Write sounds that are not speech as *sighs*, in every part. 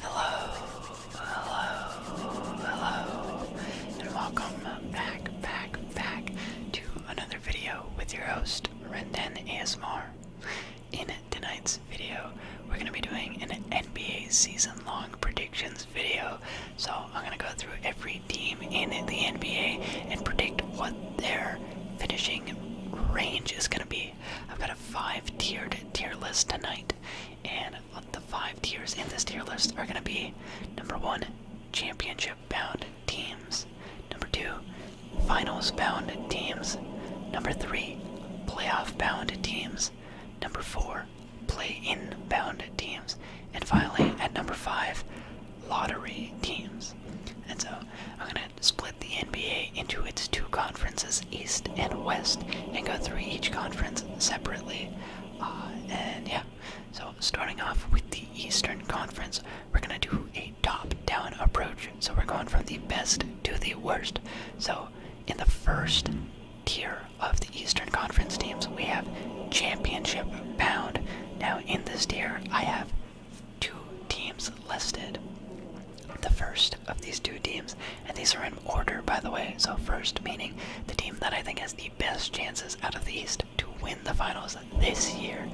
Hello, hello, hello, and welcome back, back, back to another video with your host, Renden ASMR. In tonight's video, we're going to be doing an NBA season long predictions video. So, I'm going to go through every team in the NBA and predict what their finishing range is going to be I've got a five tiered tier list tonight, and the five tiers in this tier list are going to be number one, championship bound teams, number two, finals bound teams, number three, playoff bound teams, number four, play in bound teams, and finally, at number five, lottery teams. And so I'm going to split the NBA into its two conferences, East and West, and go through each conference separately. Uh, and yeah, so starting off with the Eastern Conference, we're going to do a top down approach. So we're going from the best to the worst. So in the first tier of the Eastern Conference teams, we have championship bound. Now, in this tier, I have two teams listed the first of these two teams, and these are in order, by the way. So, first meaning the team that I think has the best chances out of the East to win the finals this year.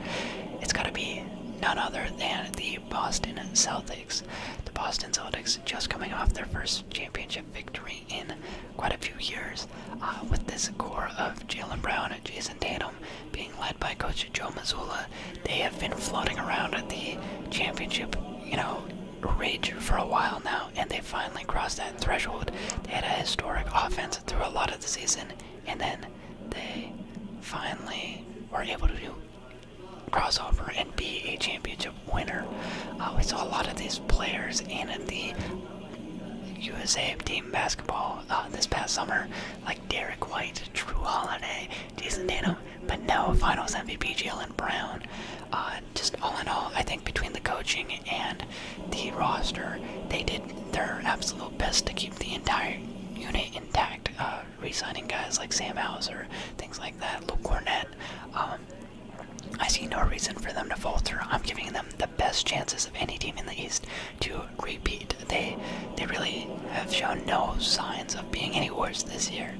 It's got to be none other than the Boston Celtics. The Boston Celtics just coming off their first championship victory in quite a few years, uh, with this core of Jalen Brown and Jason Tatum being led by Coach Joe Missoula they have been floating around at the championship, you know, ridge for a while now, and they finally crossed that threshold. They had a historic offense through a lot of the season, and then they finally were able to do crossover and be a championship winner. Uh, we saw a lot of these players in the USA team basketball uh, this past summer, like Derek White, Drew Holiday, Jason Tatum, but no Finals MVP Jalen Brown. Uh, just all in all, I think between the coaching and the roster, they did their absolute best to keep the entire unit intact. Uh, Resigning guys like Sam Hauser, things like that, Luke Cornett. Um, I see no reason for them to falter. I'm giving them the best chances of any team in the East to repeat. They they really have shown no signs of being any worse this year.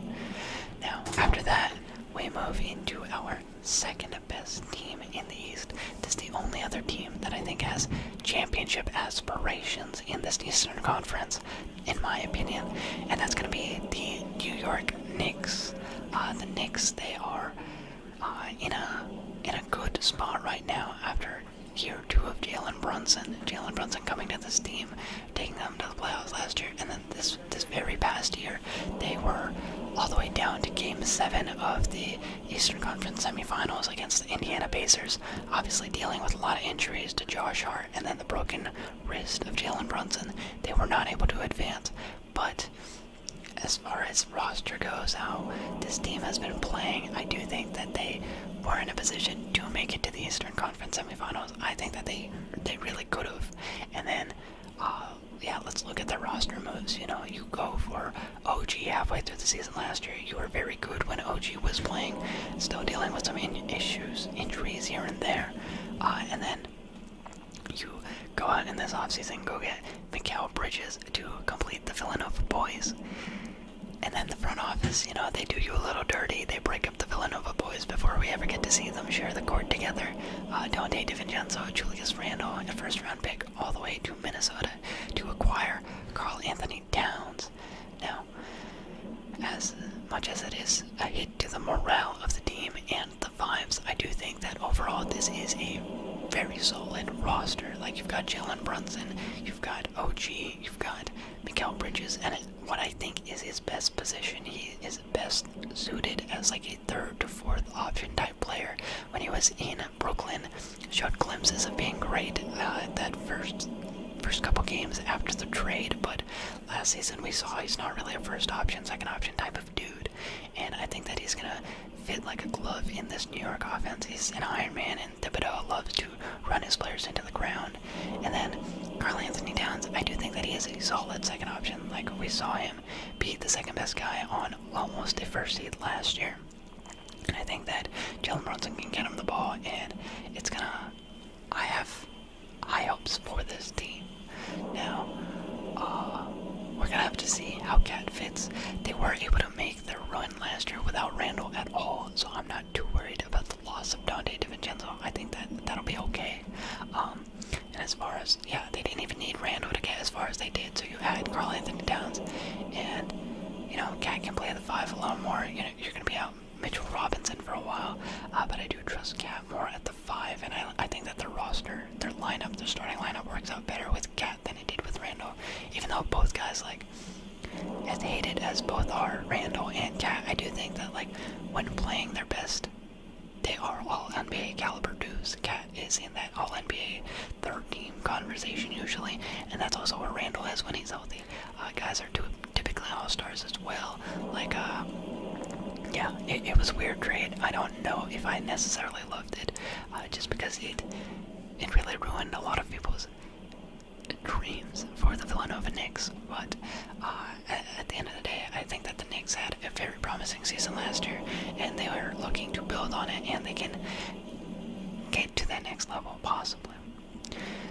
Now, after that, we move into our second best team in the East. This is the only other team that I think has championship aspirations in this Eastern Conference, in my opinion, and that's going to be the New York Knicks. Uh, the Knicks, they are uh, in a in a good spot right now after year two of Jalen Brunson. Jalen Brunson coming to this team taking them to the playoffs last year, and then this this very past year, they were all the way down to Game Seven of the Eastern Conference Semifinals against the Indiana Pacers. Obviously, dealing with a lot of injuries to Josh Hart and then the broken wrist of Jalen Brunson, they were not able to advance. But as far as roster goes, how this team has been playing, I do think that they were in a position to make it to the Eastern Conference. Conference semifinals. I think that they they really could have. And then, uh, yeah, let's look at the roster moves. You know, you go for OG halfway through the season last year. You were very good when OG was playing, still dealing with some in issues, injuries here and there. Uh, and then you go out in this offseason, go get Mikael Bridges to complete the Villanova boys. And then the front office, you know, they do you a little dirty. They break the Villanova boys before we ever get to see them share the court together. Uh, Dante DiVincenzo, Julius Randle, and a first round pick all the way to Minnesota to acquire Carl Anthony Towns. Now, as much as it is a hit to the morale of the team and the vibes, I do think that overall this is a very solid roster. Like, you've got Jalen Brunson, you've got OG, you've got Mikael Bridges, and what I think is his best position. He is best suited as like a third to fourth option type player. When he was in Brooklyn, showed glimpses of being great at uh, that first first couple games after the trade, but last season we saw he's not really a first option, second option type of dude. And I think that he's gonna fit like a glove in this New York offense. He's an Iron Man, and the Thibodeau loves to run his players into the ground. And then Carl Anthony Towns, I do think that he is a solid second option. Like we saw him beat the second best guy on almost a first seed last year. And I think that Jalen Brunson can get him the ball, and it's gonna. I have high hopes for this team. Now, uh, we're gonna have to see how Cat fits. They were able to make the run last year without Randall at all, so I'm not too worried about loss of Dante DiVincenzo, I think that that'll be okay. Um, and as far as yeah, they didn't even need Randall to get as far as they did. So you had Carl Anthony Towns, and you know Cat can play the five a lot more. You know you're gonna be out Mitchell Robinson for a while, uh, but I do trust Cat more at the five, and I I think that the roster, their lineup, their starting lineup works out better with Cat than it did with Randall. Even though both guys like as hated as both are, Randall and Cat, I do think that like when playing their best, they are all NBA caliber dudes. Cat is in that all NBA third team conversation usually, and that's also where Randall is when he's healthy. Uh, guys are typically all stars as well. Like, uh, yeah, it, was weird trade. I don't know if I necessarily loved it, uh, just because it it really ruined a lot of people's dreams for the Villanova Knicks, but uh, at, the end of the day, I think that the Knicks had a very promising season last year, and they were looking to build on it, and they can get to that next level possibly.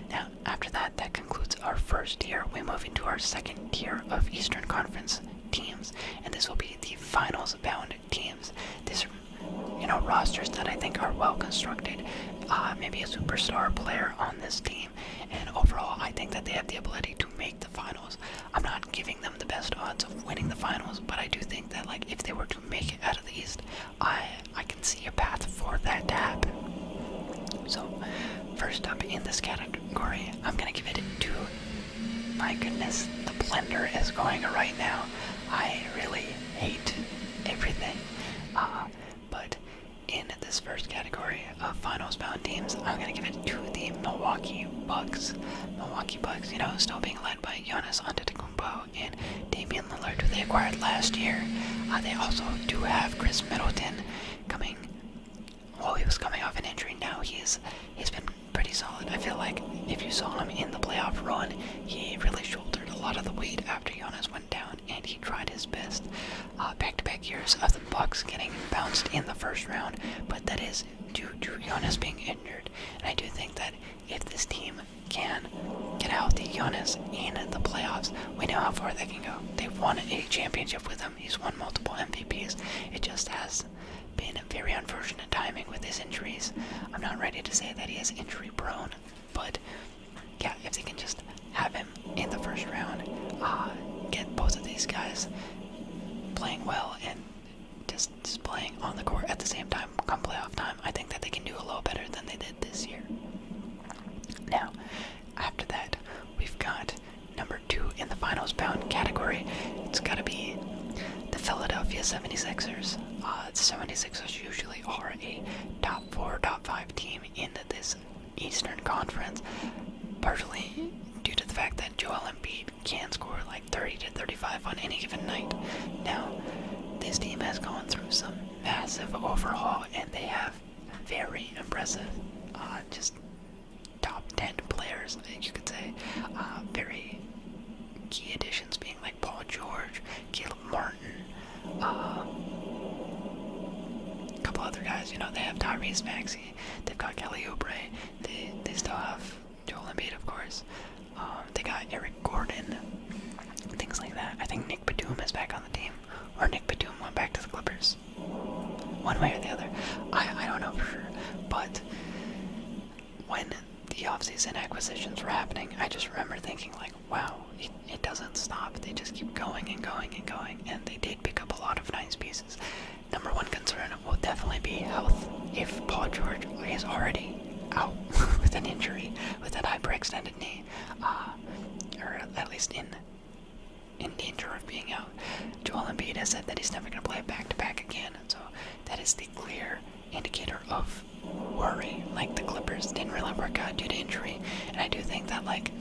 Now, after that, that concludes our first tier. We move into our second tier of Eastern Conference teams, and this will be the finals bound teams. These are, you know, rosters that I think are well constructed. Uh, maybe a superstar player on this team. And overall, I think that they have the ability to make the finals. I'm not giving them the best odds of winning the finals, but I do think that like if they were to make it out of the East, I I can see a path for that to happen. So, first up in this category, I'm gonna give it to. My goodness, the blender is going right now. I really hate everything, uh, but in this first category of finals bound teams, I'm going to give it to the Milwaukee Bucks. Milwaukee Bucks, you know, still being led by Giannis Antetokounmpo and Damian Lillard, who they acquired last year. Uh, they also do have Chris Middleton coming. Well, he was coming off an injury. Now he's he's been pretty solid. I feel like if you saw him in the playoff run, he really shouldered a lot of the weight after Giannis one down, and he tried his best. Uh, back to back years of the Bucks getting bounced in the first round, but that is due to Giannis being injured. And I do think that if this team can get healthy, Giannis in the playoffs, we know how far they can go. They've won a championship with him. He's won multiple MVPs. It just has been very unfortunate timing with his injuries. I'm not ready to say that he is injury prone, but yeah, if they can just have him in the first round, uh, get both of these guys playing well and just, playing on the court at the same time come playoff time, I think that they can do a little better than they did this year. Now, after that, we've got number two in the finals bound category. It's got to be the Philadelphia 76ers. Uh, the 76ers usually are a top four, top five team in this Eastern Conference, partially due to the fact that Joel Embiid can score like 30 to 35 on any given night. Now, this team has gone through some massive overhaul, and they have very impressive, uh, just top 10 players, you could say, uh, very key additions being like Paul George, Caleb Martin, a um, couple other guys, you know, they have Tyrese Maxey, they've got Kelly Oubre, they they still have Joel Embiid, of course. Um, they got Eric Gordon, things like that. I think Nick Batum is back on the team, or Nick Batum went back to the Clippers, one way or the other. I I don't know for sure, but when the offseason acquisitions were happening, I just remember thinking like, wow, it, doesn't stop. They just keep going and going and going, and they did pick up a lot of nice pieces. Number one concern will definitely be health. If Paul George is already out *laughs* with an injury, with that hyperextended knee, uh, or at least in in danger of being out, Joel Embiid has said that he's never going to play back to back again. So that is the clear indicator of worry. Like the Clippers didn't really work out due to injury, and I do think that like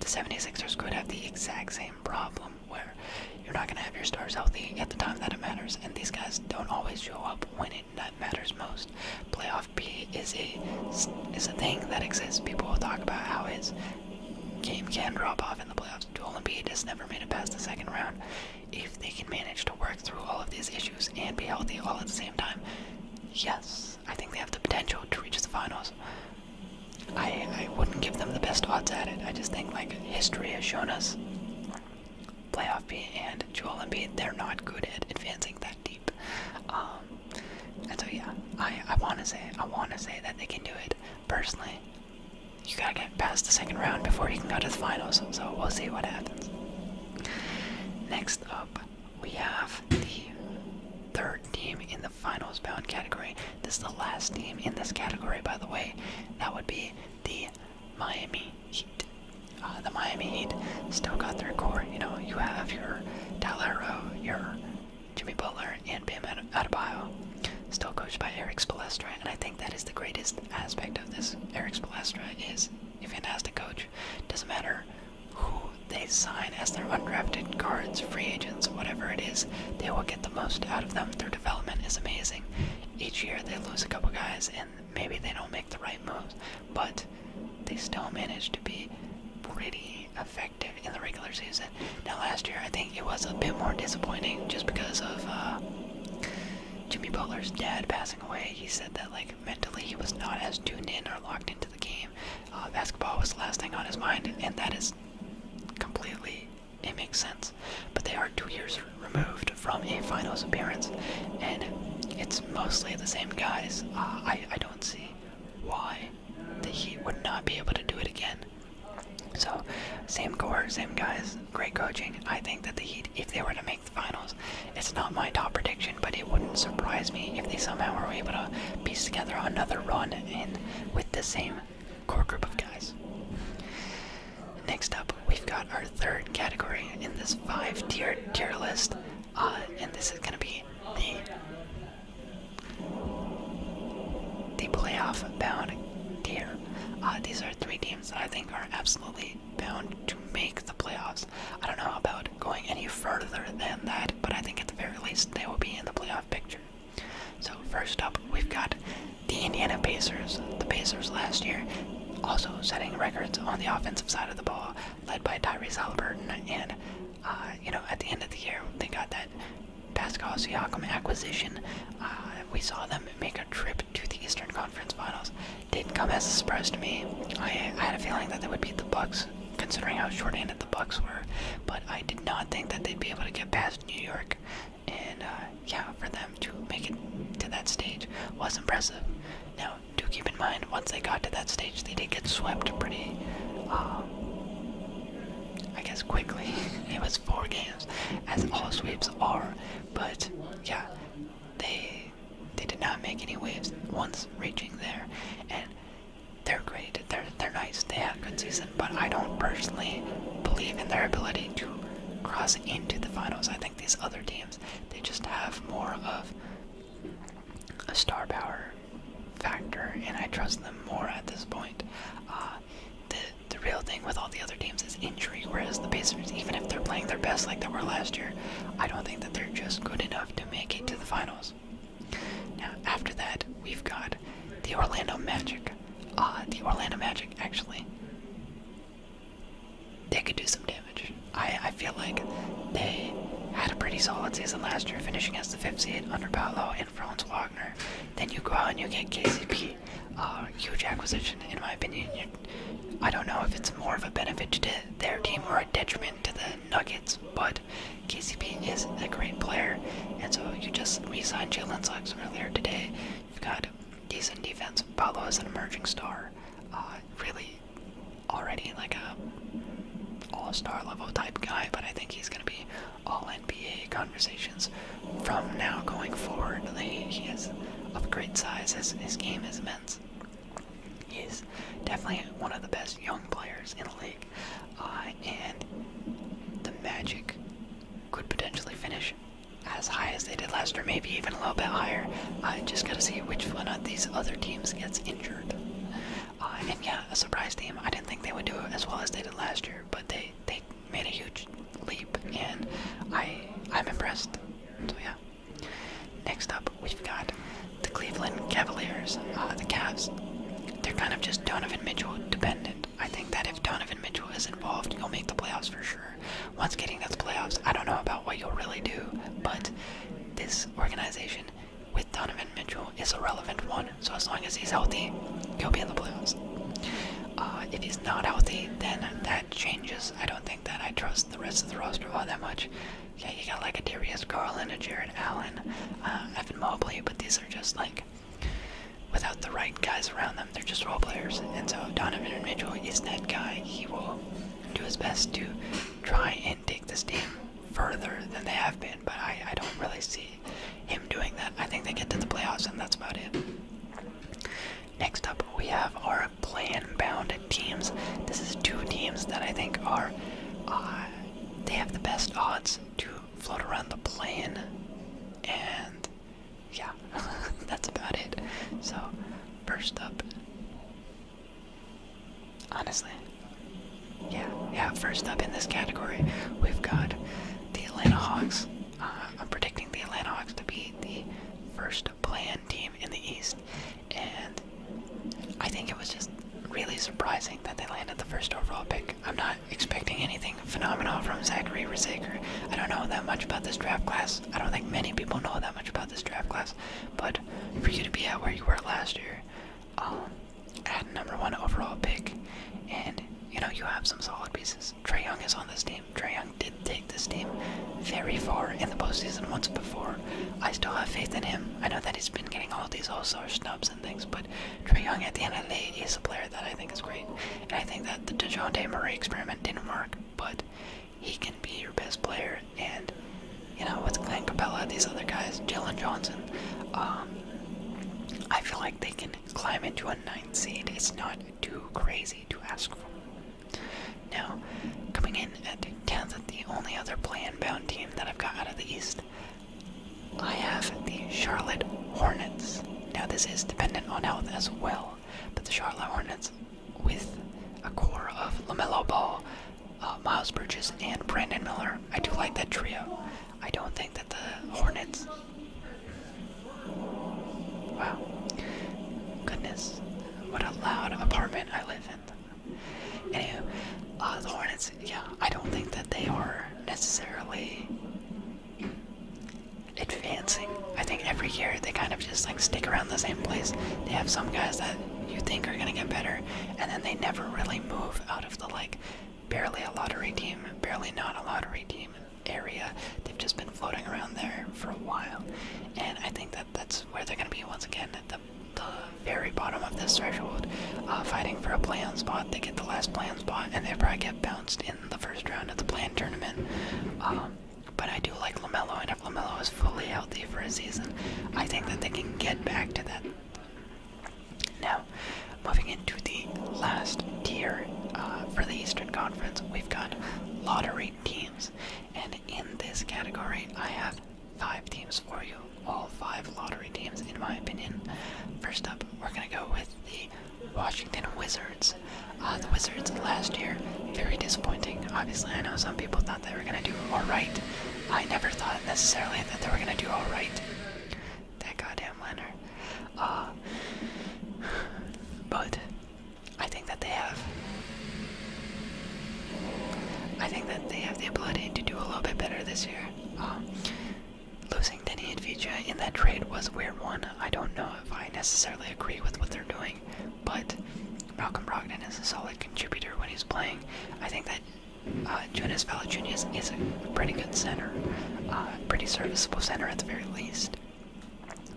the 76ers could have the exact same problem where you're not going to have your stars healthy at the time that it matters, and these guys don't always show up when it matters most. Playoff P is a, is a thing that exists. People will talk about how his game can drop off in the playoffs. Joel Embiid just never made it past the second round. If they can manage to work through all of these issues and be healthy all at the same time, yes, I think they have the potential to reach the finals. I, I wouldn't give them the best odds at it. I just think, like, history has shown us playoff B and Joel B. they're not good at advancing that deep. Um, and so, yeah, I, I want to say, I want to say that they can do it. Personally, you gotta get past the second round before you can go to the finals, so we'll see what happens. Next up, we have the third team in the finals bound category. This is the last team in this category, by the way. That would be the Miami Heat. Uh, the Miami Heat still got their core. You know, you have your Tyler your Jimmy Butler, and Bam Adebayo. Still coached by Eric Spolestra, and I think that is the greatest aspect of this. Eric Spolestra is a fantastic coach. Doesn't matter who they sign as their undrafted guards, free agents, whatever it is, they will get the most out of them. Their development is amazing. Each year they lose a couple guys and maybe they don't make the right moves, but they still manage to be pretty effective in the regular season. Now, last year I think it was a bit more disappointing just because of uh, Jimmy Butler's dad passing away. He said that, like, mentally he was not as tuned in or locked into the game uh, basketball was the last thing on his mind, and that is completely it makes sense. But they are two years removed from a finals appearance, and it's mostly the same guys. Uh, I I don't see why the Heat would not be able to do it again. So, same core, same guys, great coaching. I think that the Heat, if they were to make the finals, it's not my top prediction, but it wouldn't surprise me if they somehow were able to piece together another run in with the same core group of guys. Next up, we've got our third category in this five-tier tier list, uh, and this is going to be the playoff bound tier. Uh, these are three teams that I think are absolutely bound to make the playoffs. I don't know about going any further than that, but I think at the very least they will be in the playoff picture. So first up, we've got the Indiana Pacers. The Pacers last year also setting records on the offensive side of the ball, led by Tyrese Halliburton. And uh, you know, at the end of the year, they got that Pascal Siakam acquisition. Uh, we saw them make a trip to the Eastern Conference Finals. Didn't come as a surprise to me. I had a feeling that they would beat the Bucks considering how short-handed the Bucks were. But I did not think that they'd be able to get past New York, and uh, yeah, for them to make it to that stage was impressive. Now, do keep in mind, once they got to that stage, they did get swept pretty, um, I guess, quickly. *laughs* it was four games, as all sweeps are. But yeah, they they did not make any waves once reaching there, and they're great. They're they're nice. They have a good season, but I don't personally believe in their ability to cross into the finals. I think these other teams they just have more of a star power factor, and I trust them more at this point. Uh, the the real thing with all the other teams is injury. Whereas the Pacers, even if they're playing their best like they were last year, I don't think that they're just good enough to make it to the finals. Now, after that, we've got the Orlando Magic. Uh, the Orlando Magic, actually, they could do some damage. I, I feel like they had a pretty solid season last year, finishing as the fifth seed under Paolo and Franz Wagner. Then you go out and you get KCP. a ah, huge acquisition, in my opinion. I don't know if it's more of a benefit to their team or a detriment to the Nuggets, but KCP is a great player, and so you just re-signed Jalen Suggs earlier today. You've got decent defense. Paolo is an emerging star. Uh, really, already like a all-star level type guy, but I think he's going to be all NBA conversations from now going forward. He, is of great size. His, his game is immense. He's definitely one of the best young players in the league, uh, and the Magic could potentially finish as high as they did last year, maybe even a little bit higher. I just gotta see which one of these other teams gets injured. Uh, and yeah, a surprise team. I didn't think they would do as well as they did last year, but they they made a huge leap, and I I'm impressed. So yeah. Next up, we've got the Cleveland Cavaliers, uh, the Cavs, they're kind of just Donovan Mitchell dependent. I think that if Donovan Mitchell is involved, you'll make the playoffs for sure. Once getting to the playoffs, I don't know about what you'll really do, but this organization with Donovan Mitchell is a relevant one. So as long as he's healthy, he'll be in the playoffs. Uh, if he's not healthy, then that changes. I don't think that I trust the rest of the roster all that much. Yeah, you got like a Darius Garland, a Jared Allen, um, Evan Mobley, but these are just like without the right guys around them, they're just role players. And so Donovan Mitchell is that guy. He will do his best to try and take this team further than they have been, but I, I don't really see him doing that. I think they get to the playoffs and that's about it. Next up, we have our plan bound teams. This is two teams that I think are, uh, they have the best odds to float around the plan, And yeah, *laughs* that's about it. So, first up, honestly, yeah, yeah, first up in this category, we've got the Atlanta Hawks. Uh, I'm predicting the Atlanta Hawks to be the 1st plan team in the East and I think it was just really surprising that they landed the first overall pick. I'm not expecting anything phenomenal from Zachary Rezaker. I don't know that much about this draft class. I don't think many people know that much about this draft class, but for you to be at where you were last year, um, at number one overall pick, and you know you have some solid pieces. Trey Young is on this team. Trey Young did take this team very far in the postseason once before, I still have faith in him. I know that he's been getting all these all-star snubs and things, but Trey Young, at the end of the day, is a player that I think is great. And I think that the DeJounte Murray experiment didn't work, but he can be your best player. And, you know, with Clint Capella, these other guys, Jalen Johnson, um, I feel like they can climb into a ninth seed. It's not too crazy to ask for. Now, coming in and at the only other play-in bound team that I've got out of the East. I have the Charlotte Hornets. Now this is dependent on health as well, but the Charlotte Hornets with a core of LaMelo Ball, uh, Miles Bridges, and Brandon Miller. I do like that trio. I don't think that the Hornets. Wow. Goodness. What a loud apartment I live defend uh, the Hornets, yeah, I don't think that they are necessarily advancing. I think every year they kind of just like stick around the same place. They have some guys that you think are gonna get better, and then they never really move out of the like barely a lottery team, barely not a lottery team area. They've just been floating around there for a while, and I think that that's where they're going to be once again at the, the very bottom of this threshold, uh, fighting for a plan spot. They get the last plan spot, and they probably get bounced in the first round of the plan tournament. Um, but I do like Lamelo, and if Lamelo is fully healthy for a season, I think that they can get back to that. Now, moving into the last tier uh, for the Eastern Conference, we've got lottery teams, and in this category, I have five teams for you, all five lottery teams, in my opinion. First up, we're going to go with the Washington Wizards. Uh, the Wizards last year, very disappointing. Obviously, I know some people thought they were going to do all right. I never thought necessarily that they were going to do all right. That goddamn Leonard. Uh, *sighs* but I think that they have I think that they have the ability to do a little bit better this year. Um, losing Denny and in that trade was a weird one. I don't know if I necessarily agree with what they're doing, but Malcolm Brogdon is a solid contributor when he's playing. I think that uh, Jonas Valanciunas is a pretty good center, uh, pretty serviceable center at the very least.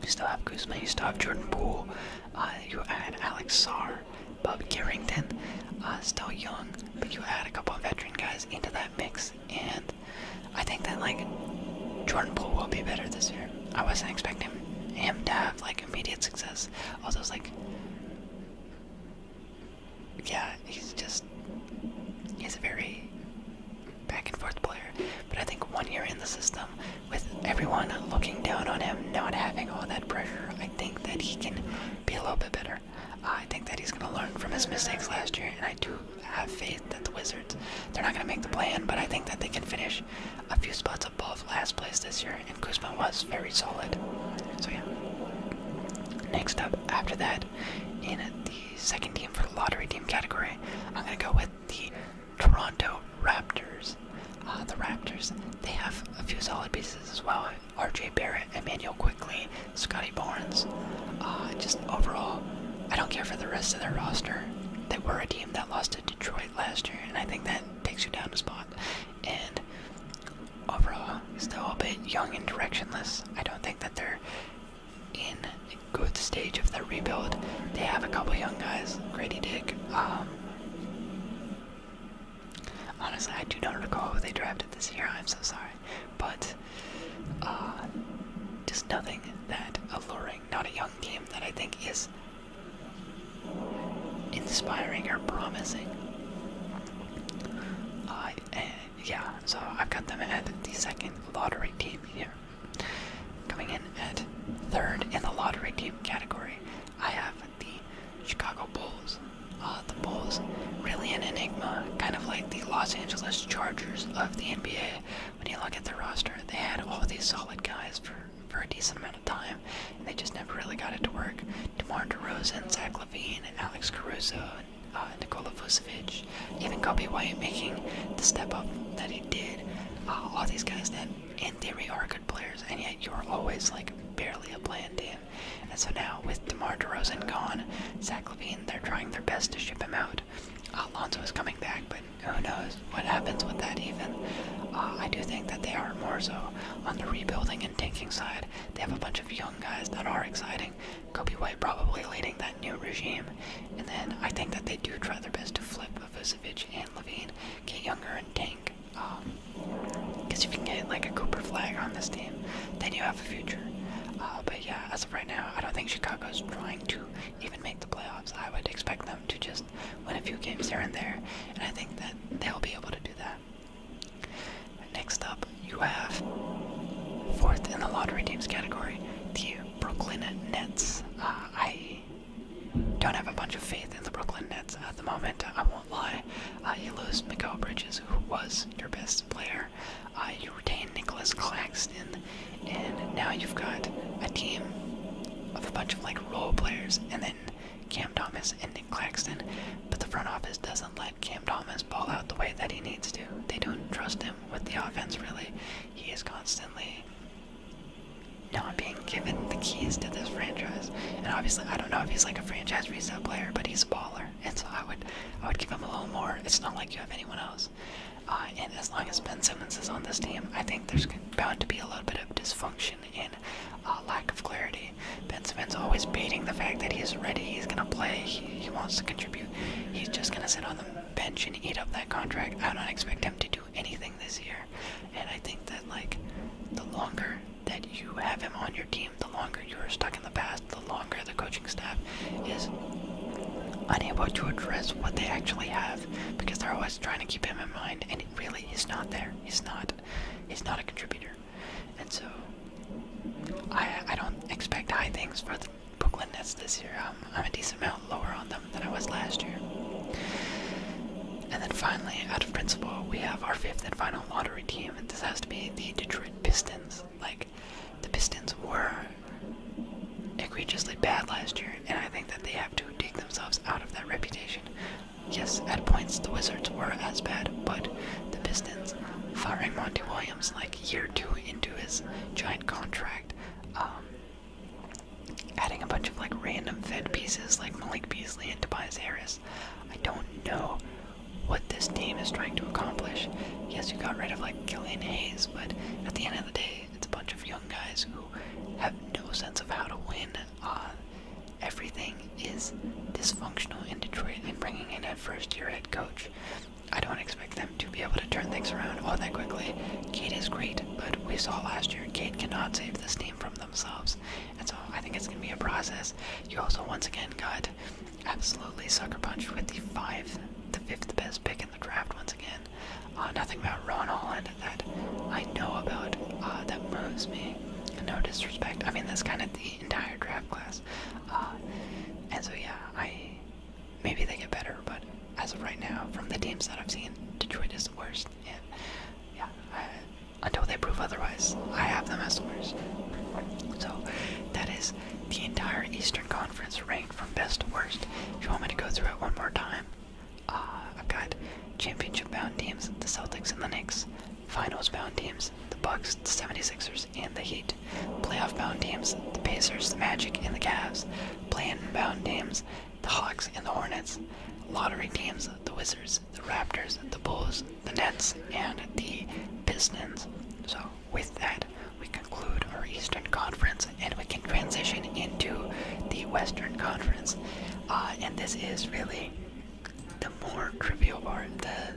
You still have Guzman. you still have Jordan Poole, uh, you add Alex Sarr, Bob Carrington, uh, still young, but you add a couple of veteran guys into that mix, and I think that like Jordan Poole will be better this year. I wasn't expecting him to have like immediate success. All those like, yeah, he's just he's a very back and forth player. But I think one year in the system, with everyone looking down on him, not having all that pressure, I think that he can be a little bit better. I think that he's going to learn from his mistakes last year, and I do have faith that the Wizards, they're not going to make the plan, but I think that they can finish a few spots above last place this year, and Kuzma was very solid. So, yeah. Next up, after that, in the second team for the lottery team category, I'm going to go with the Toronto Raptors. Uh, the Raptors, they have a few solid pieces as well. RJ Barrett, Emmanuel Quickly, Scotty Barnes. Uh, just overall, I don't care for the rest of their roster. They were a team that lost to Detroit last year, and I think that takes you down a spot. And overall, still a bit young and directionless. I don't think that they're in a good stage of their rebuild. They have a couple young guys, Grady Dick, um, Honestly, I do not recall who they drafted this year. I'm so sorry, but uh, just nothing that alluring. Not a young team that I think is inspiring or promising. Eh, yeah, so I've got them at the second lottery team here. Coming in at third in the lottery team category, I have the Chicago Bulls. Uh, the Bulls, really an enigma, kind of like the Los Angeles Chargers of the NBA. When you look at their roster, they had all these solid guys for, for a decent amount of time, and they just never really got it to work. DeMar DeRozan, Zach Levine, Alex Caruso, uh, Nikola Vucevic, even Kobe White making the step up that he did. Uh, all these guys that, in theory, are good players, and yet you're always like barely a plan D. And so now, with DeMar DeRozan gone, Zach Levine, they're trying their best to ship him out. Alonzo is coming back, but who knows what happens with that even. Uh, I do think that they are more so on the rebuilding and tanking side. They have a bunch of young guys that are exciting. Kobe White probably leading that new regime. And then I think that they do try their best to flip Vucevic and Levine, get younger and tank. Because um, if you can get like a Cooper flag on this team, then you have a future. Uh, but yeah, as of right now, I don't think Chicago's trying to even make the playoffs. I would expect them to just win a few games here and there, and I think that they'll be able to do that. Next up, you have fourth in the lottery teams category, the Brooklyn Nets. Uh, I don't have a bunch of faith in the Brooklyn Nets at the moment will uh, you lose Mikael Bridges, who was your best player. Uh, you retain Nicholas Claxton, and now you've got a team of a bunch of like role players, and then Cam Thomas and Nick Claxton. But the front office doesn't let Cam Thomas ball out the way that he needs to. They don't trust him with the offense, really. He is constantly not being given the keys to this franchise is. And obviously, I don't know if he's like a franchise reset player, but he's a baller, and so I would, I would give him a little more. It's not like you have anyone else. Uh, and as long as Ben Simmons is on this team, I think there's bound to be a little bit of dysfunction and uh, lack of clarity. Ben Simmons always baiting the fact that he's ready, he's gonna play, he, he wants to contribute. He's just gonna sit on the bench and eat up that contract. I don't expect him to do anything this year, and I think that like the longer that you have him on your team, the longer you are stuck in the past, the longer the coaching staff is unable to address what they actually have because they're always trying to keep him in mind and it really is not there. He's not he's not a contributor. And so I I don't expect high things for the Brooklyn Nets this year. Um, I'm a decent amount lower on them than I was last year. And then finally, out of principle, we have our fifth and final lottery team this has to be the Detroit Pistons. Like, the Pistons were egregiously bad last year, and I think that they have to dig themselves out of that reputation. Yes, at points the Wizards were as bad, but the Pistons, firing Monty Williams like year two into his giant contract, um, adding a bunch of like random fed pieces like Malik Beasley and Tobias Harris I don't know what this team is trying to accomplish. Yes, you got rid of like Killian Hayes, but at the end of the day, it's a bunch of young guys who have no sense of how to win. Uh, everything is dysfunctional in Detroit, and bringing in a first-year head coach, I don't expect them to be able to turn things around all that quickly. Kate is great, but we saw last year Kate cannot save this team from themselves. And so I think it's going to be a process. You also once again got absolutely sucker punched with the five, the fifth best pick in the draft once again. Uh, nothing about Ron Holland that I know about uh, that moves me. No disrespect. I mean, that's kind of the entire draft class. Uh, and so yeah, I maybe they get better, but as of right now, from the teams that I've seen, Detroit is the worst. yeah, until they prove otherwise. I have them as the worst. So that is the entire Eastern Conference ranked from best to worst. Do you want me to go through it one more time, uh, I've got championship bound teams, the Celtics and the Knicks, finals bound teams, the Bucks, the 76ers, and the Heat, playoff bound teams, the Pacers, the Magic, and the Cavs, play-in bound teams, the Hawks and the Hornets, lottery teams, the Wizards, the Raptors, the Bulls, the Nets and the Pistons. So, with that, we conclude our Eastern Conference and we can transition into the Western Conference. Uh, and this is really the more trivial part. The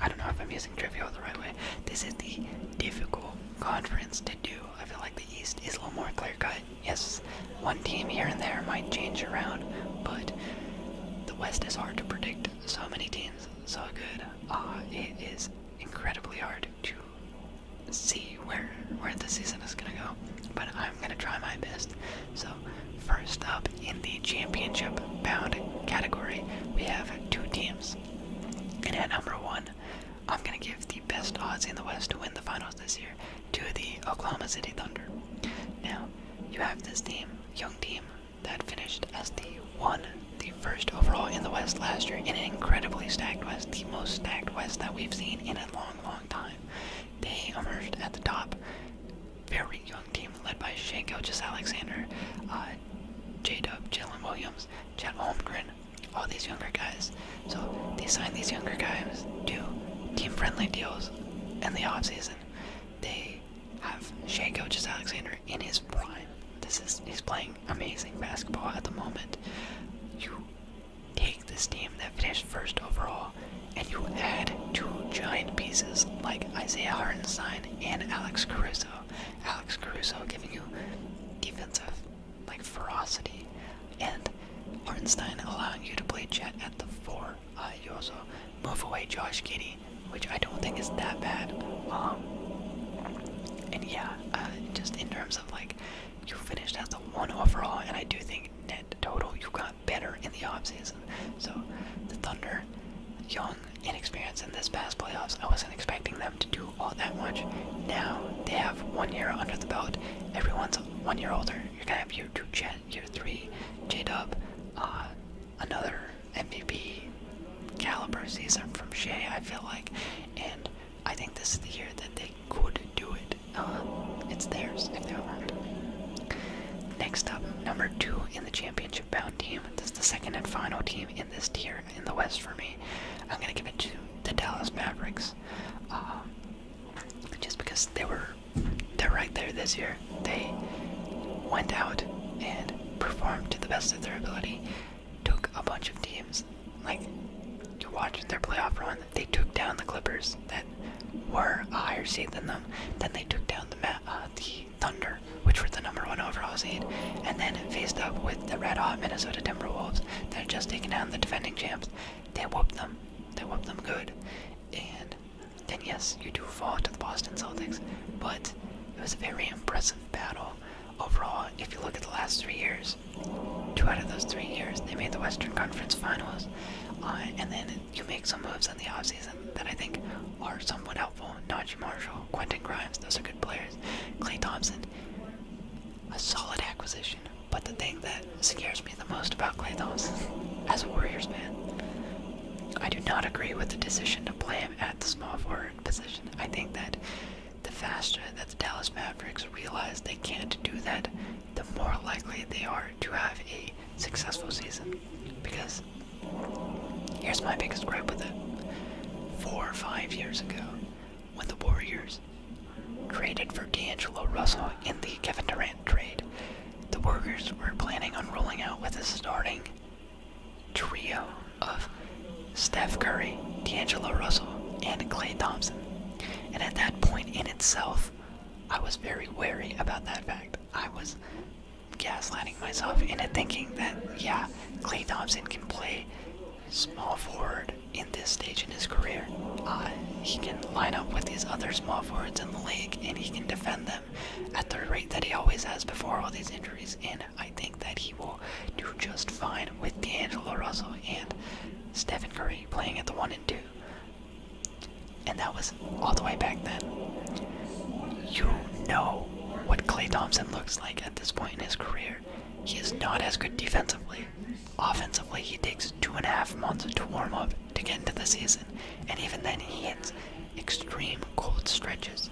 I don't know if I'm using trivial the right way. This is the difficult conference to do. I feel like the East is a little more clear cut. Yes, one team here and there might change around, but the West is hard to predict. So many teams, so good. Uh, it is incredibly hard to see where where the season is gonna go, but I'm gonna try my best. So first up in the championship bound category, we have two teams, and at number one, I'm gonna give the best odds in the West to win the finals this year to the Oklahoma City Thunder. Now, you have this team, young team, that finished as the one, the first overall in the West last year, in an incredibly stacked West, the most stacked West that we've seen in a long, long time. They emerged at the top. Very young team led by Shanko, just Alexander, uh, J Jalen Williams, Chad Holmgren, all these younger guys. So they signed these younger guys to team friendly deals in the off-season. They have Shea Coaches Alexander in his prime. This is he's playing amazing basketball at the moment. You take this team that finished first overall and you add two giant pieces like Isaiah Hartenstein and Alex Caruso. Alex Caruso giving you defensive like ferocity and Hartenstein allowing you to play Jet at the four uh, you also move away Josh Giddy, which I don't think is that bad. Um, and yeah, uh, just in terms of like, you finished as the one overall, and I do think net total you got better in the offseason. So the Thunder, young, inexperienced in this past playoffs, I wasn't expecting them to do all that much. Now they have one year under the belt. Everyone's one year older. You're gonna have your two at year three. J Dub, uh, another MVP caliber season from Shea, I feel like, and I think this is the year that they could do it. Um, it's theirs if they want. Next up, number two in the championship bound team. This is the second and final team in this tier in the West for me. I'm gonna give it to the Dallas Mavericks, um, just because they were they're right there this year. They went out and performed to the best of their ability, took a bunch of teams. Like, to watch their playoff run, they took down the Clippers that were a higher seed than them. Then they took down the, uh, the Thunder, which were the number one overall seed, and then faced up with the red hot Minnesota Timberwolves that had just taken down the defending champs. They whooped them. They whooped them good. And then yes, you do fall to the Boston Celtics, but it was a very impressive battle. Overall, if you look at the last three years, two out of those three years, they made the Western Conference Finals. Uh, and then you make some moves in the off-season that I think are somewhat helpful. Najee Marshall, Quentin Grimes, those are good players. Clay Thompson, a solid acquisition. But the thing that scares me the most about Clay Thompson as a Warriors man. I do not agree with the decision to play him at the small forward position. I think that the faster that the Dallas Mavericks realize they can't do that, the more likely they are to have a successful season. Because here's my biggest gripe with it. Four or five years ago, when the Warriors traded for D'Angelo Russell in the Kevin Durant trade. The workers were planning on rolling out with a starting trio of Steph Curry, D'Angelo Russell, and Clay Thompson. And at that point in itself, I was very wary about that fact. I was gaslighting myself into thinking that, yeah, Clay Thompson can play small forward in this stage in his career. Uh, he can line up with these other small forwards in the league, and he can defend them at the rate that he always has before all these injuries. And I think that he will do just fine with D'Angelo Russell and Stephen Curry playing at the one and two. And that was all the way back then. You know what Clay Thompson looks like at this point in his career. He is not as good defensively. Offensively, he takes two and a half months to warm up to get into the season, and even then he hits extreme cold stretches.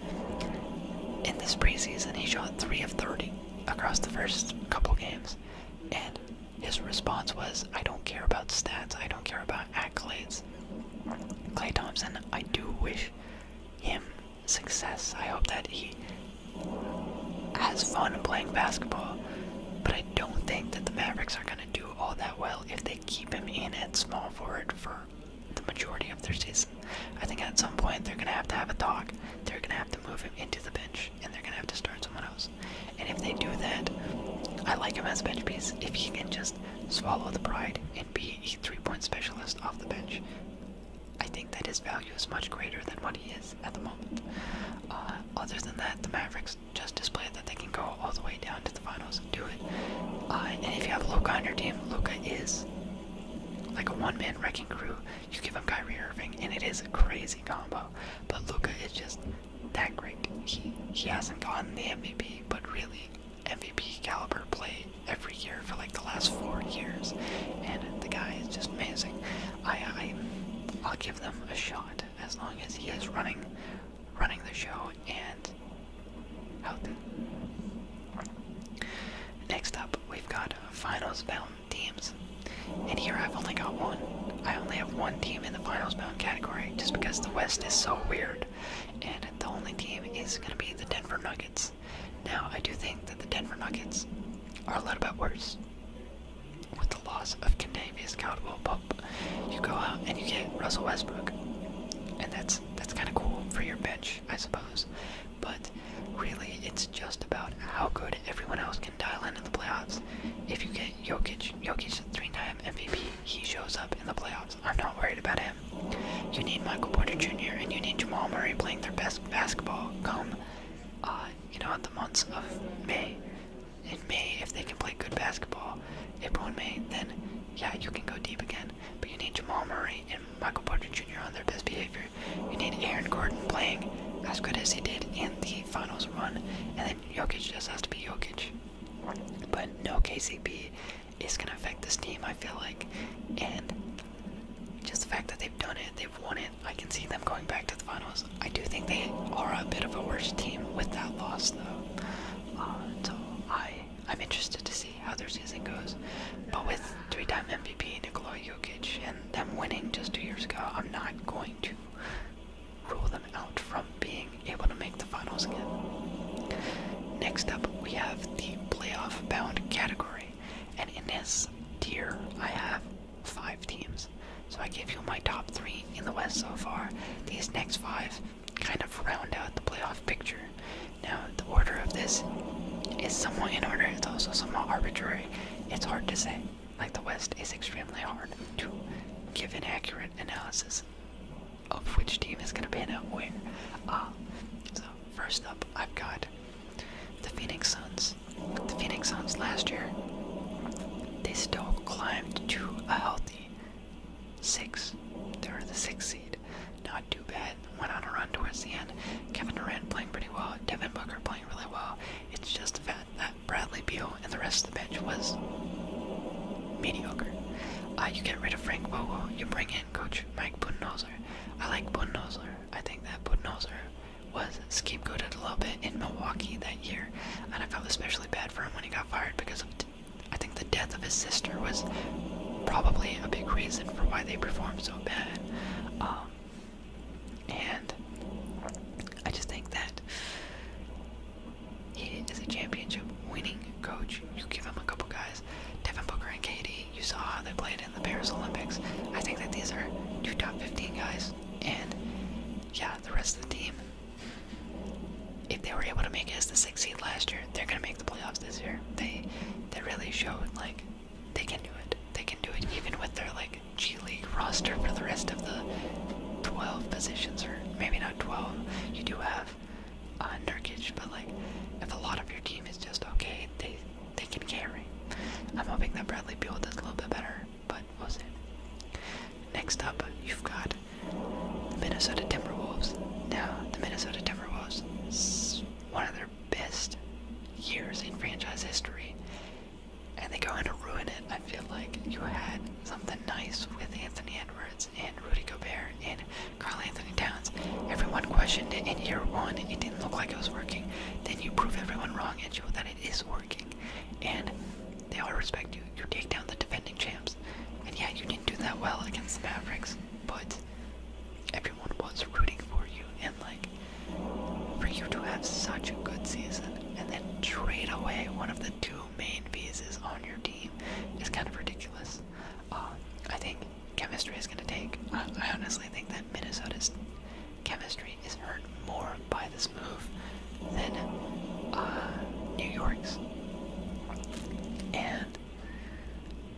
In the preseason, he shot 3 of 30 across the first couple games, and his response was, I don't care about stats, I don't care about accolades. Clay Thompson, I do wish him success. I hope that he has fun playing basketball, but I don't think that the Mavericks are going to do all that well if they keep him in at small forward for the majority of their season, I think at some point they're going to have to have a talk. They're going to have to move him into the bench, and they're going to have to start someone else. And if they do that, I like him as a bench piece. If he can just swallow the pride and be a three-point specialist off the bench, I think that his value is much greater than what he is at the moment. Uh, other than that, the Mavericks. Just display that they can go all the way down to the finals and do it. Uh, and if you have Luca on your team, Luca is like a one-man wrecking crew. You give him Kyrie Irving, and it is a crazy combo. But Luca is just that great. He he hasn't gotten the MVP, but really MVP caliber play every year for like the last four years, and the guy is just amazing. I, I I'll give them a shot as long as he is running running the show and health. Next up, we've got finals bound teams. And here I've only got one. I only have one team in the finals bound category just because the West is so weird. And the only team is going to be the Denver Nuggets. Now, I do think that the Denver Nuggets are a little bit worse with the loss of Condavious Caldwell Pope you go out and you get Russell Westbrook, and that's that's kind of cool for your bench, I suppose. But really, it's just about how good everyone else can dial into the playoffs. If you get Jokic, Jokic three-time MVP, he shows up in the playoffs. I'm not worried about him. You need Michael Porter Jr. and you need Jamal Murray playing their best basketball come, uh, you know, the months of May, in May if they can play good basketball. April and May, then yeah, you can go deep again. But you need Jamal Murray and Michael Porter Jr. on their best behavior. You need Aaron Gordon playing as good as he did in the finals run, and then Jokic just has to be Jokic. But no KCP is gonna affect this team, I feel like, and just the fact that they've done it, they've won it. I can see them going back to the finals. I do think they are a bit of a worse team with that loss, though. Uh, so I, I'm interested to see how their season goes. But with three-time MVP Nikola Jokic and them winning just two years ago, I'm not going to rule them out from being able to make the finals again. Next up, we have the playoff bound category, and in this tier, I have five teams. So I gave you my top three in the West so far. These next five kind of round out the playoff picture. Now, the order of this is somewhat in order, it's also somewhat arbitrary. It's hard to say. Like, the West is extremely hard to give an accurate analysis of which team is going to pan out where. Uh, so, first up, I've got the Phoenix Suns. The Phoenix Suns last year, they still climbed to a healthy six. They were the sixth seed. Not too bad. Went on a run towards the end. Kevin Durant playing pretty well. Devin Booker playing really well. It's just the that Bradley Beal and the rest of the bench was mediocre. Uh, you get rid of Frank Vogel. You bring in Coach Mike Budenholzer. I like Budenholzer. I think that Budenholzer was scapegoated a little bit in Milwaukee that year, and I felt especially bad for him when he got fired because of I think the death of his sister was probably a big reason for why they performed so bad. Um, and I just think that he is a championship winning coach. You give him a couple guys, Devin Booker and Katie. You saw how they played in the Paris Olympics. I think that these are two top 15 guys. And yeah, the rest of the team, if they were able to make it as the sixth seed last year, they're gonna make the playoffs this year. They they really showed like they can do it. They can do it even with their like G League roster for the rest of the twelve positions, or maybe not twelve. You do have uh, Nurkic, but like if a lot of your team is just okay, they they can carry. I'm hoping that Bradley Beal does a little bit better, but we'll see. Next up, you've got the Minnesota Timberwolves. Now, the Minnesota Timberwolves, one of their best years in franchise history, and they go in to ruin it. I feel like you had something nice with Anthony Edwards and Rudy Gobert and Carl Anthony Towns. Everyone questioned it in year one. It didn't look like it was working. Then you prove everyone wrong and show that it is working. And they all respect you. You take down the defending champs. And yeah, you didn't do that well against the Mavericks, but everyone was rooting for you. And like, for you to have such a good season and then trade away one of the two main pieces on your team is kind of ridiculous. Uh, I think chemistry is going to take. I, I honestly think that Minnesota's chemistry is hurt more by this move then uh, New York's. And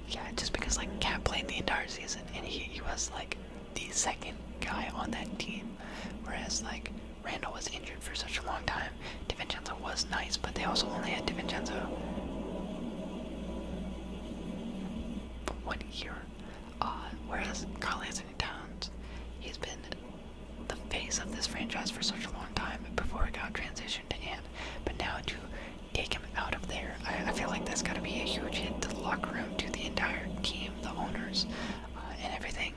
yeah, just because like Cat played the entire season and he, he was like the second guy on that team, whereas like Randall was injured for such a long time. DiVincenzo was nice, but they also only had DiVincenzo for one year. Uh, whereas Carl Anthony Towns, he's been the face of this franchise for such a long time before it got transitioned to Ant. But now to take him out of there, I, feel like that's got to be a huge hit to the locker room, to the entire team, the owners, uh, and everything.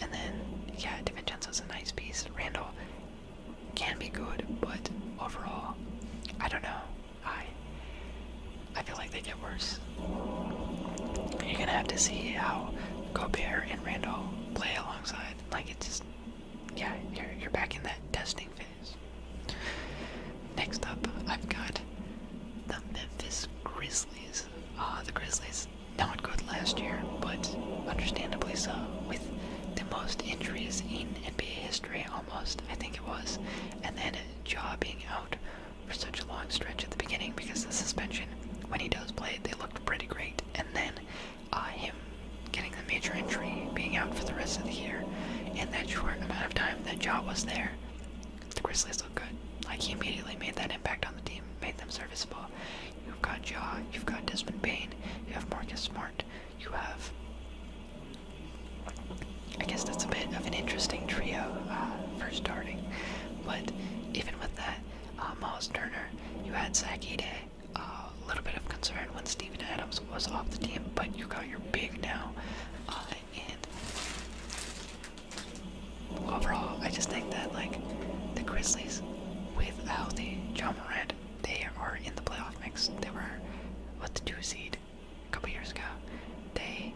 And then, yeah, DiVincenzo's a nice piece. Randall can be good, but overall, I don't know. I I feel like they get worse. You're gonna have to see how Gobert and Randall play along like it's just, yeah, you're you're back in that testing phase. Next up, I've got the Memphis Grizzlies. Uh, the Grizzlies not good last year, but understandably so, with the most injuries in NBA history, almost I think it was, and then Jaw being out for such a long stretch at the beginning because of the suspension. When he does play, they looked pretty great. And then him getting the major injury, being out for the rest of the year, in that short amount of time that Jaw was there, the Grizzlies look good. Like he immediately made that impact on the team, made them serviceable. You've got Jaw, you've got Desmond Bain, you have Marcus Smart, you have. I guess that's a bit of an interesting trio uh, for starting, but even with that, uh, Miles Turner. You had Zach Ide. Uh, a little bit of concern when Steven Adams was off the team, but you got your big now. Uh, and overall, I just think that like the Grizzlies, with healthy John Morant, they are in the playoff mix. They were what the two seed a couple years ago. They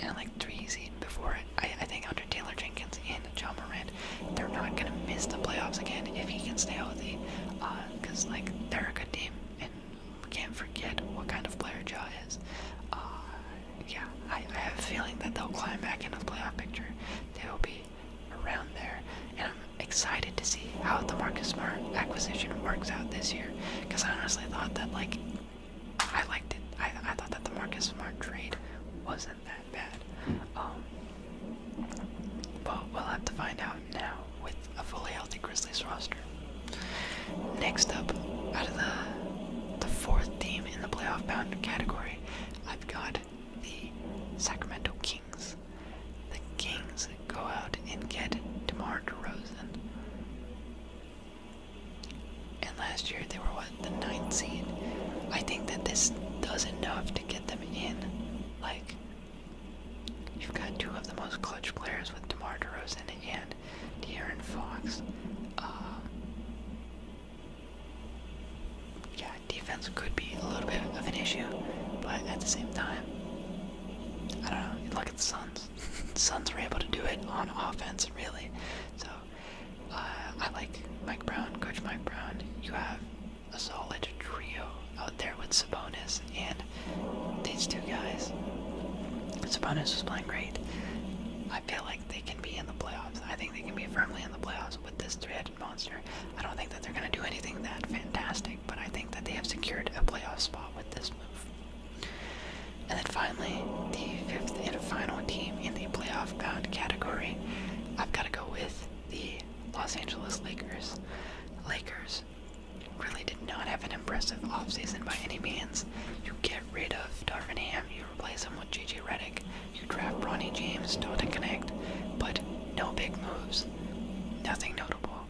and like three seed before I, think under Taylor Jenkins and John Morant, they're not gonna miss the playoffs again if he can stay healthy. Uh, Cause like they're a good team, and we can't forget what kind of player Ja is. Uh, yeah, I, I have a feeling that they'll climb back into the playoff picture. They will be around there, and I'm excited to see how the Marcus Smart acquisition works out this year. Cause I honestly thought that like I liked it. I I thought that the Marcus Smart trade wasn't that bad. Um, but we'll have to find out now with a fully healthy Grizzlies roster. Next up, out of the the fourth team in the playoff bound category, I've got the Sacramento Kings. The Kings go out and get DeMar DeRozan. And last year they were what the ninth seed. I think that this does enough to get them in. Like, you've got two of the most clutch players with DeMar DeRozan and De'Aaron Fox. Uh, yeah, defense could be a little bit of an issue, but at the same time, I don't know. You look at the Suns. the *laughs* Suns were able to do it on offense, really. So uh, I like Mike Brown, Coach Mike Brown. You have a solid trio out there with Sabonis and these two guys. Sabonis was playing great. I feel like they can be in the playoffs. I think they can be firmly in the playoffs with this three-headed monster. I don't think that they're going to do anything that fantastic, but I think that they have secured a playoff spot with this move. And then finally, the fifth and final team in the playoff bound category I've got to go with the Los Angeles Lakers. Lakers really did not have an impressive offseason by any means. You get rid of Darvin Ham, you replace him with JJ Redick, you draft Bronny James, don't Connect, but no big moves, nothing notable.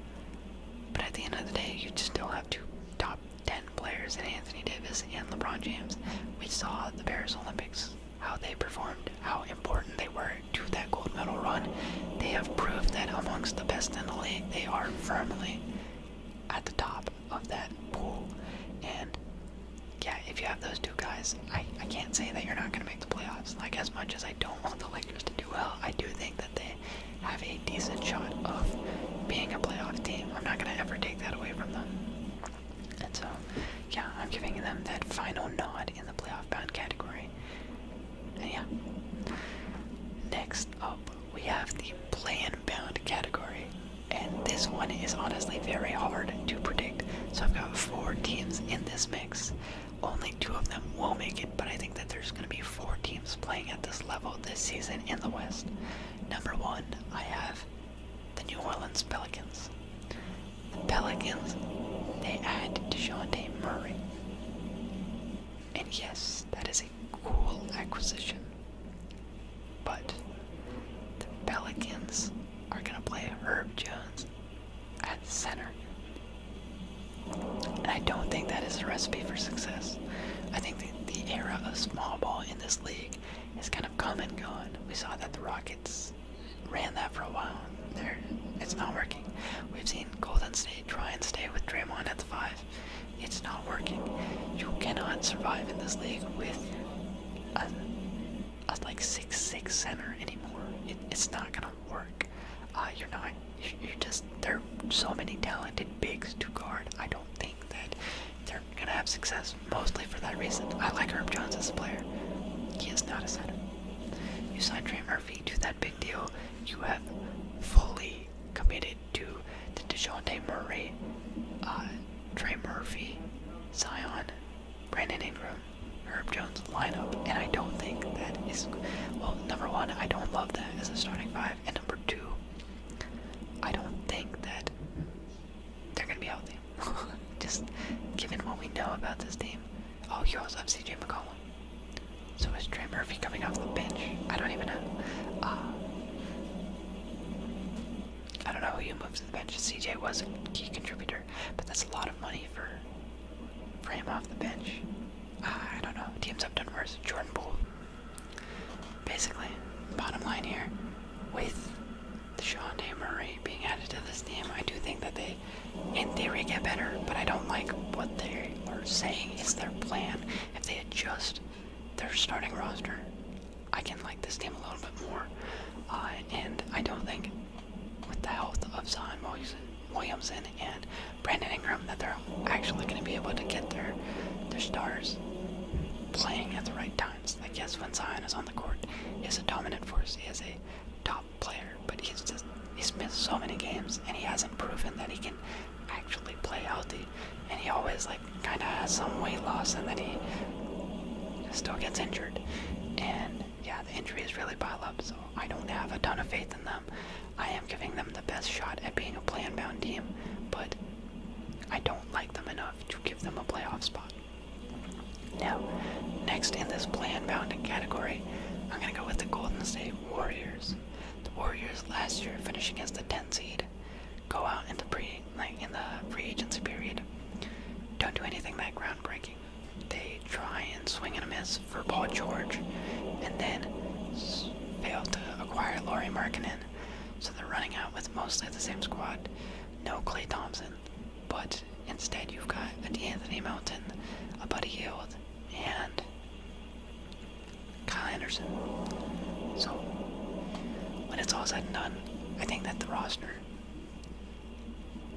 But at the end of the day, you just still have two top 10 players in Anthony Davis and LeBron James. We saw the Paris Olympics how they performed, how important they were to that gold medal run. They have proved that amongst the best in the league, they are firmly at the top of that pool. And yeah, if you have those two guys, I, can't say that you're not going to make the playoffs. Like, as much as I don't want the Lakers to do well, I do think that they have a decent shot of being a playoff team. I'm not going to ever take that away from them. And so, yeah, I'm giving them that final nod in the playoff bound category. And yeah. Next up, we have the play bound category. And this one is honestly very hard to predict. So I've got four teams in this mix. Only two of them will make it, but I think that there's going to be four teams playing at this level this season in the West. Number one, I have the New Orleans Pelicans. The Pelicans, they add DeJounte Murray. And yes, that is a cool acquisition. But the Pelicans are going to play Herb Jones at center. And I don't think that is a recipe for success. I think the era of small ball in this league it's kind of come and gone. We saw that the Rockets ran that for a while. it's not working. We've seen Golden State try and stay with Draymond at the five. It's not working. You cannot survive in this league with a, like six six center anymore. it's not gonna work. Uh, you're not. You're just there. Are so many talented bigs to guard. I don't think that. They're going to have success, mostly for that reason. I like Herb Jones as a player. He is not a sign. You signed Trey Murphy to that big deal. You have fully committed to, to DeJounte Murray, uh, Trey Murphy, Zion, Brandon Ingram, Herb Jones lineup, and I don't think that is. Well, number one, I don't love that as a starting five, and number two, I don't think that they're going to be healthy. *laughs* Just given what we know about this team. all oh, you also CJ McCollum. So is Trey Murphy coming off the bench? I don't even know. Uh, I don't know who you moved to the bench. CJ was a key contributor, but that's a lot of money for, for him off the bench. Uh, I don't know. Teams up done worse. Jordan Poole. Basically, bottom line here, with Sean A. Murray being added to this team. I do think that they, in theory, get better, but I don't like what they are saying is their plan. If they adjust their starting roster, I can like this team a little bit more. Uh, and I don't think, with the health of Zion Williamson and Brandon Ingram, that they're actually going to be able to get their, their stars playing at the right time times. Like, yes, when Zion is on the court, he's a dominant force. He is a top player, but he's just he's missed so many games, and he hasn't proven that he can actually play healthy. And he always like kind of has some weight loss, and then he still gets injured. And yeah, the injuries really pile up. So I don't have a ton of faith in them. I am giving them the best shot at being a play bound team, but I don't like them enough to give them a playoff spot. Now, next in this plan-bound category, I'm going to go with the Golden State Warriors. The Warriors last year finishing as the 10 seed, go out in the pre in the free agency period, don't do anything that groundbreaking. They try and swing and a miss for Paul George, and then fail to acquire Laurie Markkinen, so they're running out with mostly the same squad. No Clay Thompson, but instead, you've got Anthony Mountain, a Buddy Yield, and Kyle Anderson. So, when it's all said and done, I think that the roster,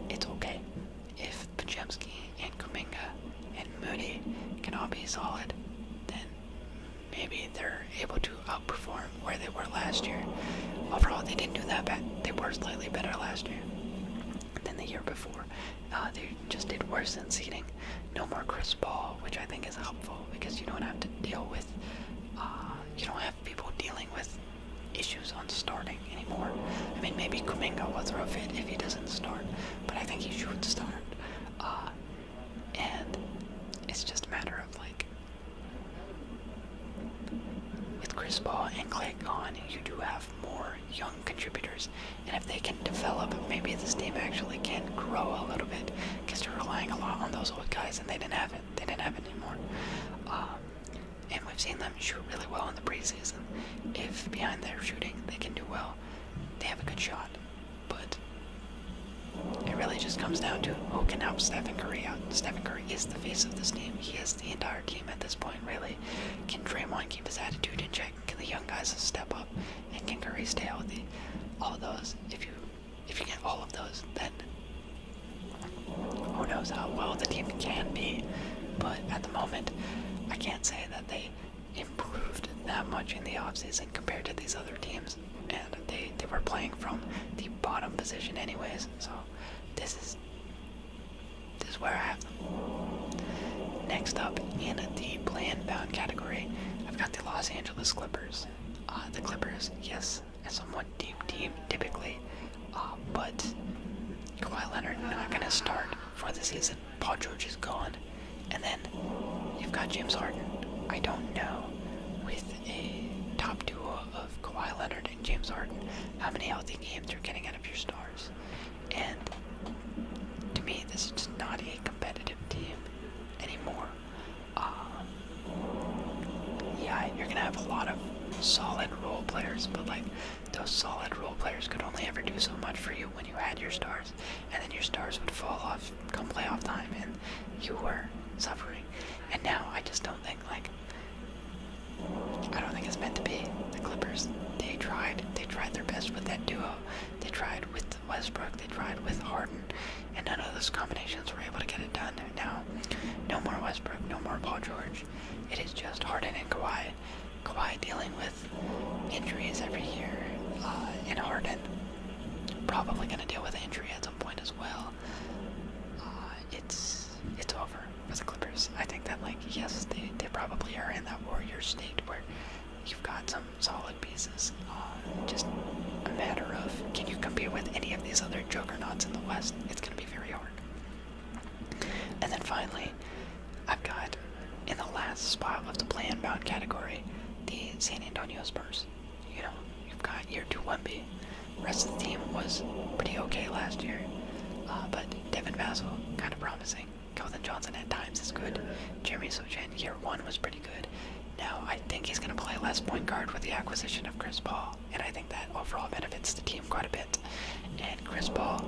it's okay. If Pajemski and Kuminga and Moody can all be solid, then maybe they're able to to outperform where they were last year. Overall, they didn't do that bad. They were slightly better last year than the year before. Uh, they just did worse in seeding. No more Chris Ball, which I think is helpful because you don't have to deal with, uh, you don't have people dealing with issues on starting anymore. I mean, maybe Kuminga will throw a fit if he doesn't start, but I think he should start. Uh, and it's just a matter of like with Chris Paul and Clay gone, you do have more young contributors, and if they can develop, maybe this team actually can grow a little bit because they're relying a lot on those old guys, and they didn't have it. They didn't have it anymore. Um, and we've seen them shoot really well in the preseason. If behind their shooting they can do well, they have a good shot. But it really just comes down to who can help Stephen Curry out. Stephen is the face of this team. He is the entire team at this point, really. Can Draymond keep his attitude in check? Can the young guys step up? And can Curry stay healthy? All of those. If you if you get all of those, then who knows how well the team can be. But at the moment, I can't say that they improved that much in the offseason compared to these other teams. And they, they were playing from the bottom position anyways, so this is this is where I have them. Next up, in a deep land bound category, I've got the Los Angeles Clippers. Uh, the Clippers, yes, a somewhat deep team typically, uh, but Kawhi Leonard not going to start for the season. Paul George is gone, and then you've got James Harden. I don't know with a top duo of Kawhi Leonard James Harden, how many healthy games you're getting out of your stars. And to me, this is just not a competitive team anymore. Um, yeah, you're going to have a lot of solid role players, but like those solid role players could only ever do so much for you when you had your stars, and then your stars would fall off come playoff time, and you were suffering. And now I just don't think like I don't think it's meant to be. The Clippers, they tried. They tried their best with that duo. They tried with Westbrook. They tried with Harden. And none of those combinations were able to get it done. Now, no more Westbrook, no more Paul George. It is just Harden and Kawhi. Kawhi dealing with injuries every year. Uh, and Harden probably going to deal with injury at some point as well. Um, uh, it's it's over for the Clippers. I think that like yes, they they probably are in that warrior state where you've got some solid pieces. Uh, just a matter of can you compete with any of these other juggernauts in the West? It's gonna be very hard. And then finally, I've got in the last spot of the plan bound category the San Antonio Spurs you know, you've got year two Wemby. The rest of the team was pretty okay last year, uh, but Devin Vassell, kind of promising. Kelvin Johnson at times is good. Jeremy Sochan year one was pretty good. Now I think he's going to play less point guard with the acquisition of Chris Paul, and I think that overall benefits the team quite a bit. And Chris Paul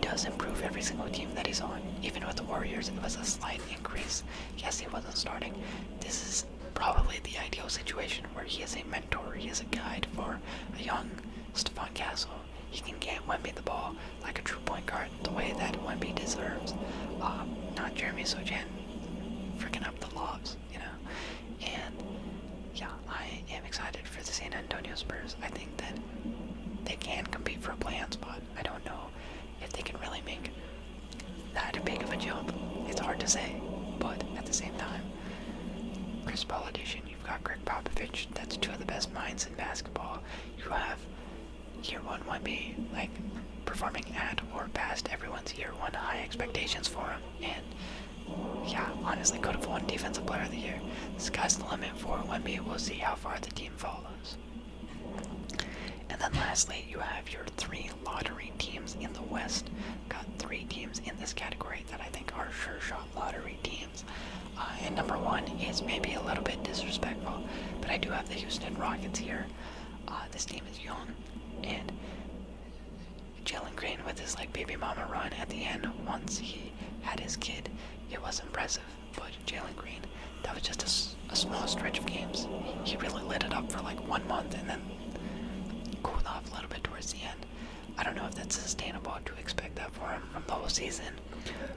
does improve every single team that he's on. Even with the Warriors, it was a slight increase. Yes, he wasn't starting. This is is probably the ideal situation where he is a mentor, he is a guide for a young Stephon Castle. He can get Wemby the ball like a true point guard, the way that Wemby deserves. Uh, not Jeremy Sochan freaking up the lobs, you know? And yeah, I am excited for the San Antonio Spurs. I think that they can compete for a play-in spot. I don't know if they can really make that big of a jump. It's hard to say, but at the same time, Chris Politician, you've got Greg Popovich, that's two of the best minds in basketball. You have year one 1B, like performing at or past everyone's year one high expectations for him. And yeah, honestly, could have won Defensive Player of the Year. The sky's the limit for 1B. We'll see how far the team follows. And then lastly, you have your three lottery teams in the West got three teams in this category that I think are sure shot lottery teams. Uh, and number one is maybe a little bit disrespectful, but I do have the Houston Rockets here. Uh, this team is young, and Jalen Green with his like baby mama run at the end once he had his kid, it was impressive. But Jalen Green, that was just a small stretch of games. He really lit it up for like one month, and then cooled off a little bit towards the end. I don't know if that's sustainable to expect that for him from the whole season.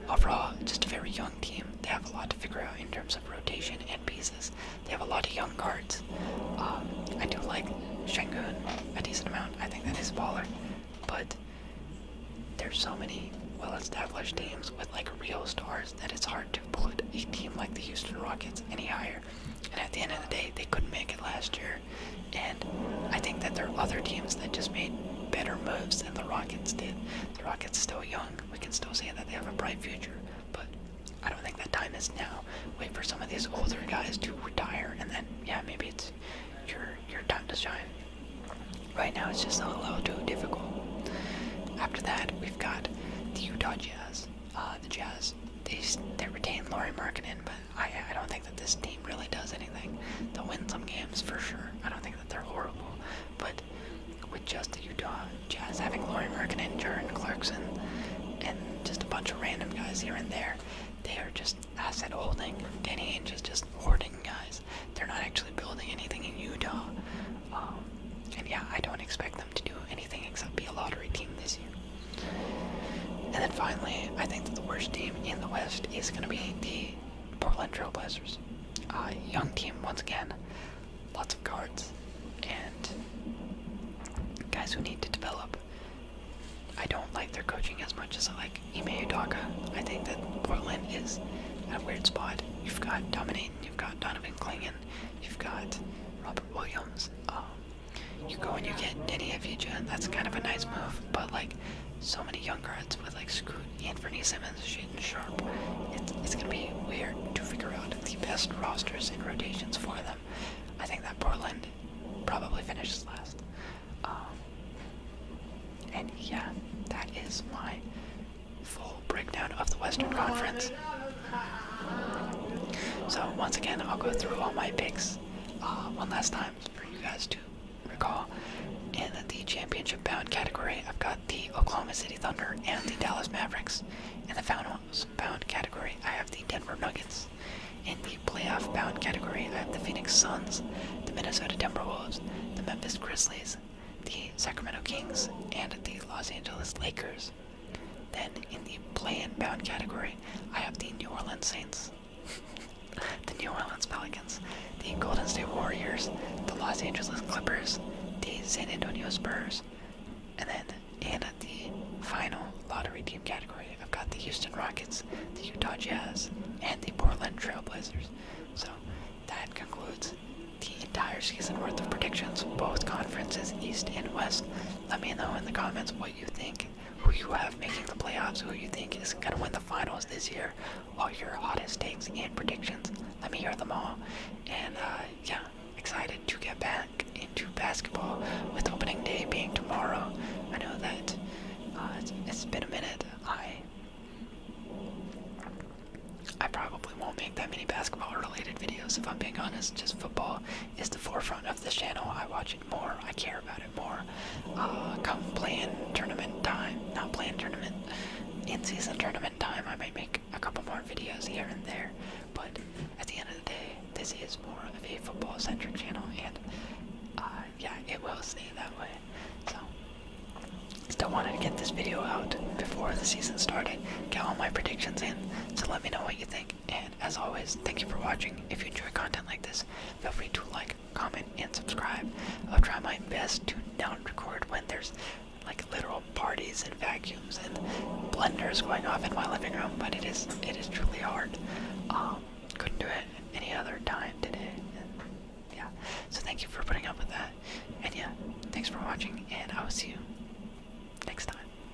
Overall, just a very young team. They have a lot to figure out in terms of rotation and pieces. They have a lot of young guards. Um, I do like Shengun a decent amount. I think that is a baller. But there's so many well-established teams with like real stars that it's hard to put a team like the Houston Rockets any higher. And at the end of the day, they couldn't make it last year. And I think that there are other teams that just made better moves than the Rockets did. The Rockets still young. We can still say that they have a bright future. But I don't think that time is now. Wait for some of these older guys to retire, and then yeah, maybe it's your your time to shine. Right now, it's just a little too difficult. After that, we've got the Utah Jazz uh, the Jazz, they, they retain Laurie Markkinen, but I, I don't think that this team really does anything. They'll win some games for sure. I don't think that they're horrible, but with just the Utah Jazz having Laurie Markkinen, Jaron Clarkson, and just a bunch of random guys here and there, they are just asset holding. Danny Ainge is just hoarding guys. They're not actually building anything in Utah. Um, and yeah, I don't expect to do anything except be a lottery team this year. And then finally, I think that the worst team in the West is going to be the Portland Trailblazers. Uh, young team, once again, lots of guards, and guys who need to develop. I don't like their coaching as much as I like Ime Udaka. I think that Portland is at a weird spot. You've got Dominatin, you've got Donovan Klingon, you've got Robert Williams. Um, you go and you get Diddy Avija, that's kind of a nice move, but like so many young guards with like Scoot, Bernie Simmons, shooting Sharp, it's, it's gonna be weird to figure out the best rosters and rotations for them. I think that Portland probably finishes last. Um, and yeah, that is my full breakdown of the Western Conference. So once again, I'll go through all my picks uh, one last time for you guys to recall. In the championship bound category, I've got the Oklahoma City Thunder and the Dallas Mavericks. In the finals bound category, I have the Denver Nuggets. In the playoff bound category, I have the Phoenix Suns, the Minnesota Timberwolves, the Memphis Grizzlies, the Sacramento Kings, and the Los Angeles Lakers. Then in the play-in bound category, I have the New Orleans Saints, *laughs* the New Orleans Pelicans, the Golden State Warriors, the Los Angeles Clippers, the San Antonio Spurs, and then in the final lottery team category, I've got the Houston Rockets, the Utah Jazz, and the Portland Trailblazers. So that concludes the entire season worth of predictions, both conferences, East and West. Let me know in the comments what you think, who you have making the playoffs, who you think is going to win the finals this year, all your hottest takes and predictions. Let me hear them all. And uh, yeah, excited to get back into basketball with opening day being tomorrow. I know that uh, it's been a minute. I I probably won't make that many basketball related videos if I'm being honest, just football is the forefront of this channel. I watch it more. I care about it more. Uh, come plan tournament time, not plan tournament, in-season tournament time. I might make a couple more videos here and there, but at the end of the day, this is more of a football-centric channel, and uh, yeah, it will stay that way. So, still wanted to get this video out before the season started, get all my predictions in. So let me know what you think. And as always, thank you for watching. If you enjoy content like this, feel free to like, comment, and subscribe. I'll try my best to not record when there's like literal parties and vacuums and blenders going off in my living room, but it is it is truly hard. Um, couldn't do it any other time today. yeah. So thank you for putting up with that. And yeah, thanks for watching and I will see you next time.